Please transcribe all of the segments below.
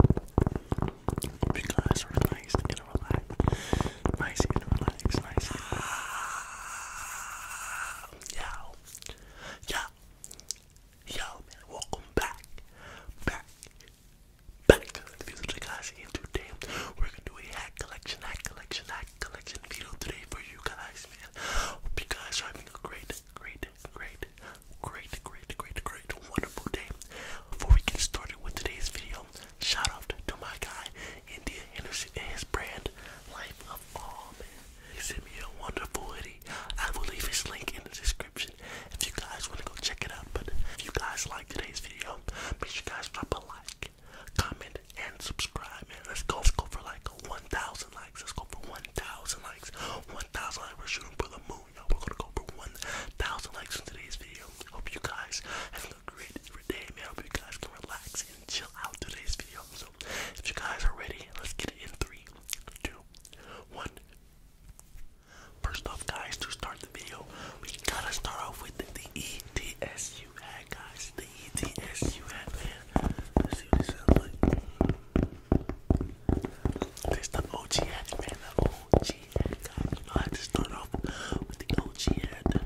Hope Yo. Yo. Yo, man. Welcome back. Back. Back to the video today, guys. today, we're going to do a hack collection, hack collection, hack collection video today for you guys, man. Hope you guys are having a great, great, great, great, great, great, great, wonderful day. Before we get started with today's video, shout out to my guy, India Henderson, and his brand, Life of All Man. He sent me a wonderful hoodie. I will leave his link in the description if you guys want to go check it out. But if you guys like today's video, make sure guys drop a like, comment, and subscribe, man. Let's go. go for like 1,000 likes. Let's go for 1,000 likes. 1,000 likes. We're shooting for the boom, We're gonna go for 1,000 likes in today's video. Hope you guys have a great day, man. Hope you guys can relax and chill out today's video. So, if you guys are ready, let's get it in three, two, one. First off, guys, to start the video, we gotta start off with the, the guys. The ETSU Let's see what it sounds like. There's the OG ad, man. The OG ad, guys. You know, I just to start off with the OG ad.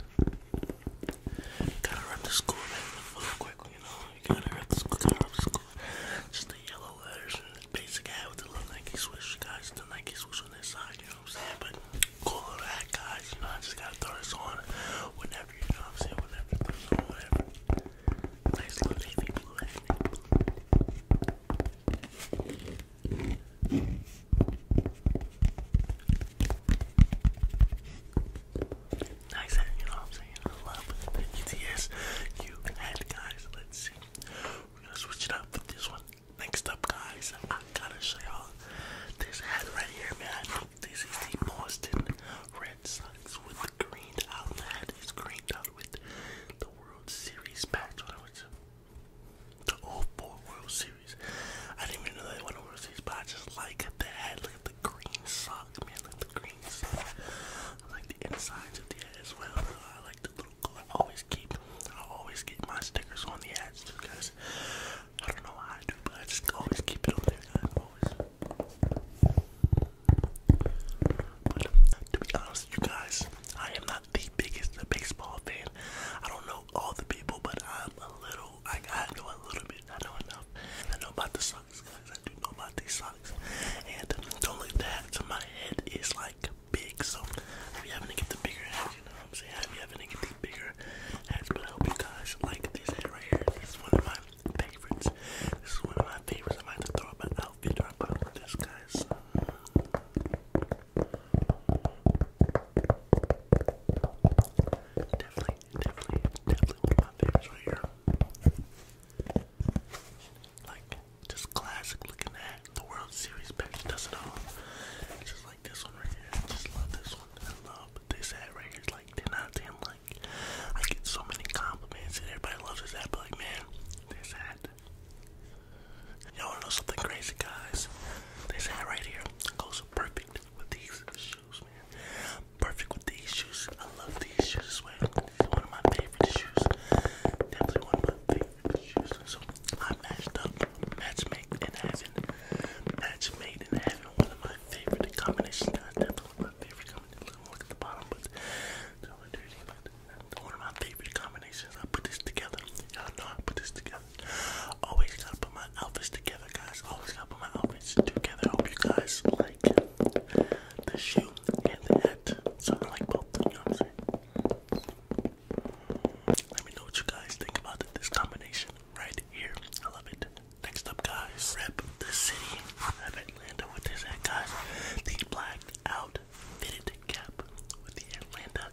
Gotta rep the school, man. Real quick, you know. You gotta rep the school. Gotta rep the school. Just the yellow letters and the basic ad with the little Nike swoosh, guys. The Nike swoosh on this side, you know what I'm saying? But cool little ad, guys. You know, I just gotta throw this on whenever, you know what I'm saying? Whenever, throw this on, whatever. Nice little navy blue ad. Navy blue. Nice hat, you know I'm saying? I love the ETS you had, guys. Let's see. We're gonna switch it up with this one. Next up, guys, I gotta show y'all this hat right here, man. This is the Boston Red Sox with the green out. The hat is greened out with the World Series patch on it, which the 04 World Series. I didn't even know they won the World Series, but I just like the head. Look at the green sock, man. Look at the green sock. I like the insides of the head as well. I like the little I always keep, I always keep my stickers on the ads too, guys. I don't know why I do, but I just always keep it on there, guys. But to be honest, you guys, I am not the biggest baseball fan. I don't know all the people, but I'm a little, I, I know a little bit. I know enough. I know about the Sox, guys. I do know about these Sox. And don't let that to my head is like big. So I'll be having to get the bigger heads, you know what I'm saying? I'll be having to get the bigger heads, but I hope you guys like this head right here. This is one of my favorites. This is one of my favorites. I might have to throw up an outfit or about this guy's. Uh, Definitely, definitely, definitely one of my favorites right here. Like, just classic looking at the World Series picture. does it all. Just like this one right here. I just love this one. I love this hat right here. It's like 10 out of 10. Like, I get so many compliments and everybody loves this hat. But like, man, this hat you want know something crazy, guys? They say right here. Goes perfect with these shoes, man. Perfect with these shoes. I love these shoes this way. is one of my favorite shoes. Definitely one of my favorite shoes. So I matched up match made in heaven. Match made in heaven. One of my favorite combinations. Definitely one of my favorite combinations. look at the bottom, but it's all dirty, but I one of my favorite combinations. I put this together. Y'all know I put this together. Always gotta put my outfits together, guys. Always gotta put my outfits together. I hope you guys like the shoe and the hat. So I like both, you know what I'm Let me know what you guys think about this combination right here. I love it. Next up, guys, rep the city I of Atlanta with this hat, guys. The blacked out fitted cap with the Atlanta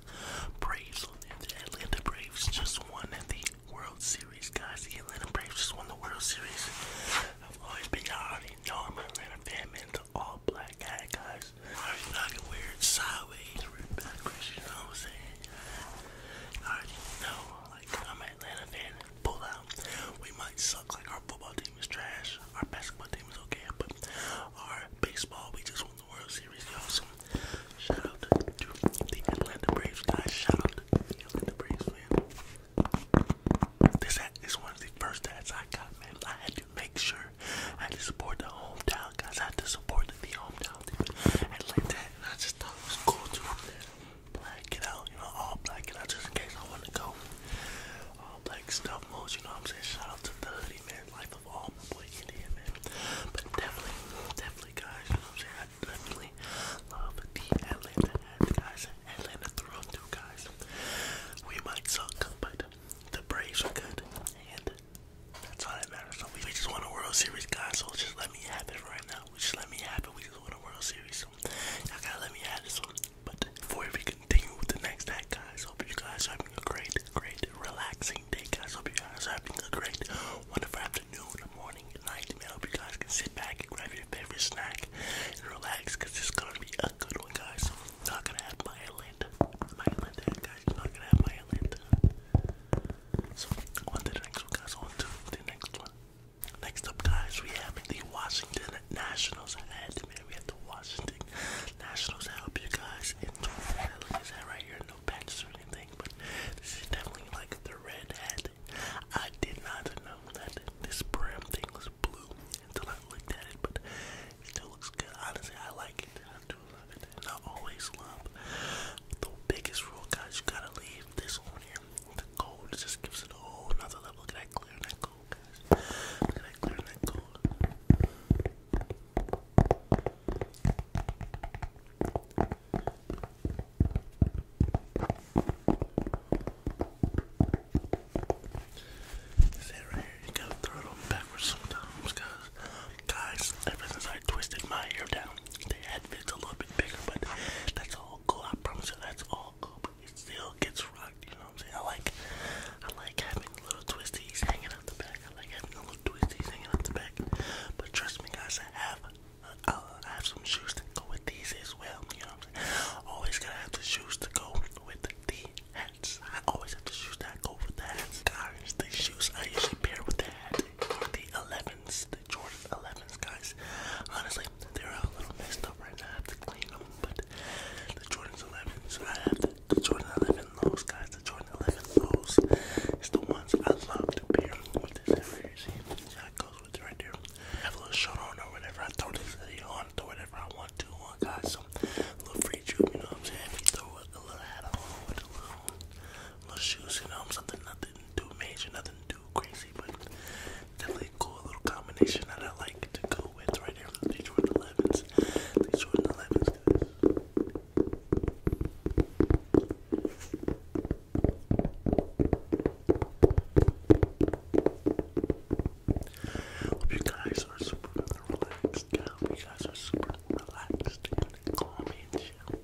Braves. the Atlanta Braves just won the World Series, guys. Atlanta Braves just won the World Series. I've always been, y'all already know Atlanta fan, man. It's all black guy, guys. Already knocking weird sideways, weird backwards, you know I'm saying? I already know, like, I'm Atlanta fan. Pull out. We might suck, like, our football team is trash. Our basketball team is okay, but our baseball, we just won the World Series, y'all. So shout out to the Atlanta Braves, guys. Shout out to the Atlanta Braves, man. This is one of the first ads I got, man. I had to make sure I had to support the hometown, guys. I had to support the hometown team. And like that, I just thought it was cool black it out, you know, all black it out just in case I want to go all black stuff mode, you know what I'm saying? Shout out to the hoodie, man life of all my boy Indian man. But definitely, definitely guys, you know what I'm saying? I definitely love the Atlanta guys. Atlanta through and guys. We might suck, but the Braves are good and that's all that matters. So we, just won a World Series guys, so just let me have it right now. just let me have it. We just won a World Series. y'all gotta let me have this one. But before we continue with the next act, guys, hope you guys are having a great, great, relaxing day, guys. Hope you guys are having a great, wonderful afternoon, morning, night. I hope you guys can sit back and grab your favorite snack and relax, cause it's gonna be a good one, guys. I'm not gonna have my Atlanta, my Atlanta, guys. I'm not gonna have my Atlanta. Uh, so on to the next one, guys. On to the next one. Next up, guys, we have the Washington Nationals at we had the Washington Nationals to help you guys in Florida. Look Is that right here, no patches or anything, but this is definitely like the red hat. I did not know that this brim thing was blue until I looked at it, but it still looks good. Honestly, I like it. I do love it. And I always love the biggest rule, guys. You gotta leave this on here. The gold just gives it a whole another level. of at that clear, cold, guys. Look at that clear that cold. Sit right here. You gotta throw it backwards sometimes, cause guys, ever since I twisted my hair down, the head fits a little bit bigger, but that's all cool. I promise you, that's all cool. But it still gets rocked, you know. I'm saying? I like I like having little twisties hanging out the back. I like having little twisties hanging out the back. But trust me guys, I have uh, I have some shoes to go with these as well. You know what I'm saying? Always gotta have the shoes to go with the hats. I always have the shoes that go with the hats. Guys, the shoes I usually pair with the hat are the 11s, the Jordan 11s, guys. Honestly, they're a little messed up right now. I have to clean them, but the Jordan's 11s, I have the Jordan 11 lows, guys. The Jordan 11 lows It's the ones I love to pair with this every See, see how it goes with it right there. have a little shirt on or whatever. I throw this video on, throw whatever I want to on, guys. So, a little free trip, you know what I'm saying? throw a, a little hat on with a little, little shoes, you know, something, nothing too major, nothing too crazy, but definitely a cool little combination that I like to go with right here. These Jordan These Jordan Hope you guys are super relaxed. I hope you guys are super relaxed and calm and chill.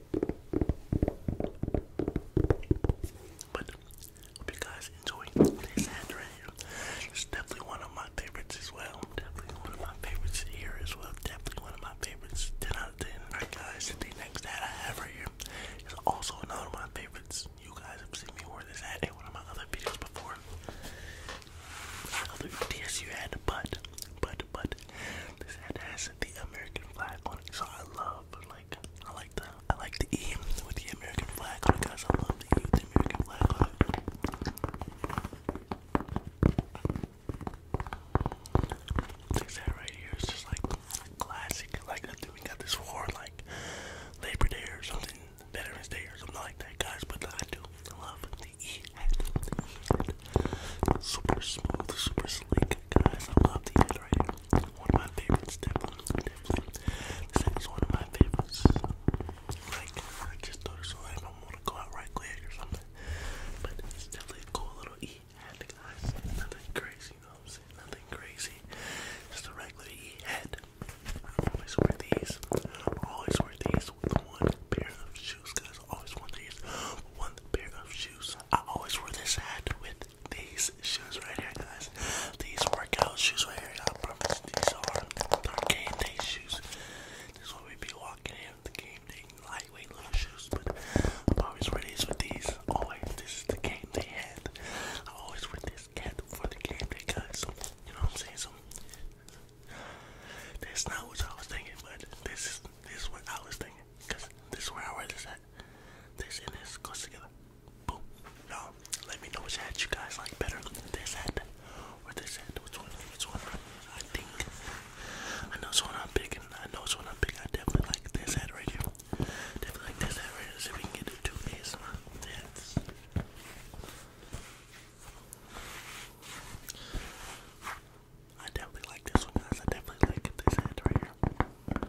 But hope you guys enjoy today's ad right here. It's definitely one of my favorites as well. Definitely one of my favorites here as well. Definitely one of my favorites. 10 out of 10. Alright guys, the next ad I have right here is also another one of my favorites. You guys have seen me wear this ad in one of my other videos before. Other DSU ad, but, but, but, this ad has the American flag on it. So I love, like, I like I like the E with the American flag on it, guys. I love the E with the American flag This hat right here is just like classic. Like I think we got this for like Labor Day or something, Veterans Day or something like that, guys. But I do love the E Super smooth, super sleek, guys. I love the E right here. One of my favorites, definitely, This thing is one of my favorites. Like, I just thought it so I want to go out right or something. But it's definitely a cool little E hat, guys. Nothing crazy, you know what I'm saying? Nothing crazy. Just a regular E hat. I always wear these. I always wear these one pair of shoes, guys. I always want these. One pair of shoes. I always wear this hat with these shoes right here, guys. These workout shoes right here. I promise these are our game day shoes. This is what we be walking in the game day lightweight little shoes, but I'm always wear these oh, with these. Always, this is the game they had. I always with this cat for the game day, guys. So, you know what I'm saying? So that's not what I was thinking, but this is this is what I was thinking. Cause this is where I wear this at. This and this goes together. Boom. you let me know which hat you guys like better. This hat or this hat. Which one? Which one? I think. I know it's one I'm picking. I know it's one I'm picking. I definitely like this hat right here. Definitely like this hat right here. if we can get the two these hats. I definitely like this one, I definitely like this hat right here.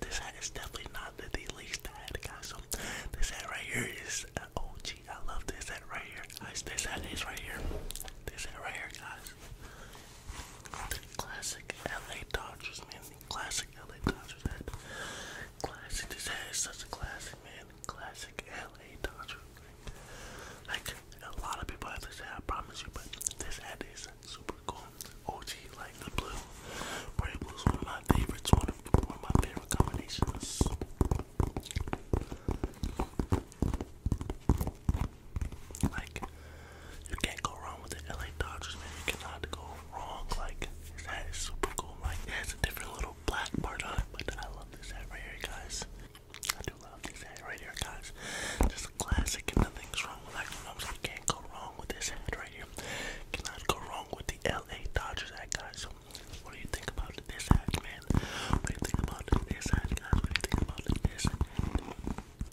This hat is definitely not the, the least hat, guys. So this hat right here is uh, oh gee, I love this hat right here, guys. This hat is right here. This hat right here, guys. Classic LA Dodgers, man. Classic LA Dodgers hat. Classic. This hat is such a classic, man. Classic LA Dodgers. Like a lot of people have this hat, I promise you, but this hat is super cool. OG like the blue. Pretty blue is one of my favorites, one of, one of my favorite combinations. Like, you can't go wrong with the LA Dodgers, man. You cannot go wrong. Like, that is super cool. Like, it a different little black part on it, but I love this hat right here, guys. I do love this hat right here, guys. Just classic, and nothing's wrong like, you know, so can't go wrong with this hat right here. cannot go wrong with the LA Dodgers at, guys. So, what do you think about this act, man? What do you think about this act, guys? What do you think about this?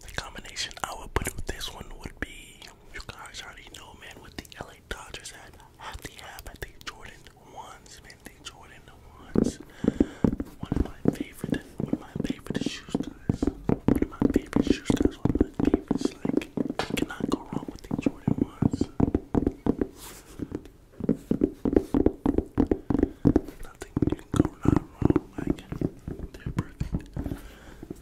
The combination I would put with this one would be, you guys already know, man, with the LA Dodgers hat, have the app, I think Jordan ones, man, the Jordan ones. One of my favorite, one of my favorite shoes, guys. One of my favorite shoes, guys. One of my favorites, like, you cannot go wrong with the Jordan ones. Nothing you can go wrong, like they're perfect.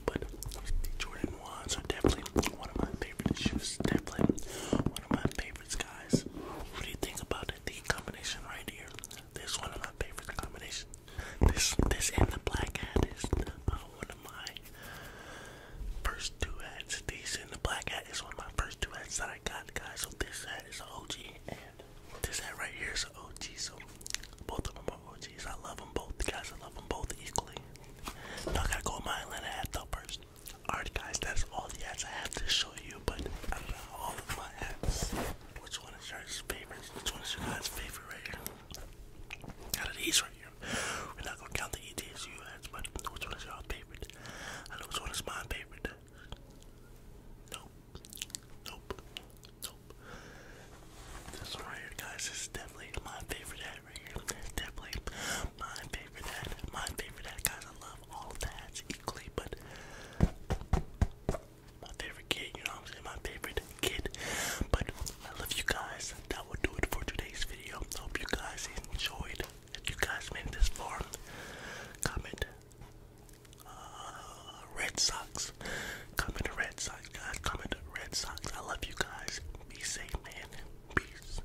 But the Jordan ones are definitely one of my favorite shoes. Definitely one of my favorites, guys. What do you think about The combination right here. This is one of my favorite combinations. This this and the black hat is uh, one of my first two ads, These and the black hat is one of my first two ads that I got, guys. So this ad is an OG, and this ad right here is an OG. So both of them are OGs. I love them both, guys. I love them both equally. Now I gotta go with my Atlanta hat though first. Alright, guys, that's all the ads I have to show you. But out of all of my ads, which one is your favorite? Which one is your guys' favorite right here? Out these right here. We're not gonna count the ETSU ads, but which one is you favorite? I know which one is my favorite. Nope. Nope. Nope. This right here, guys, is definitely my favorite ad right here. Definitely my favorite ad. My favorite ad, guys. I love all the equally, but my favorite kid, you know what I'm saying? My favorite kid. But I love you guys that will do it for today's video. Hope you guys enjoyed. If you guys made this form, comment uh, Red Sox. Comment Red Sox, guys. Comment Red Sox. I love you guys. Be safe, man. Peace.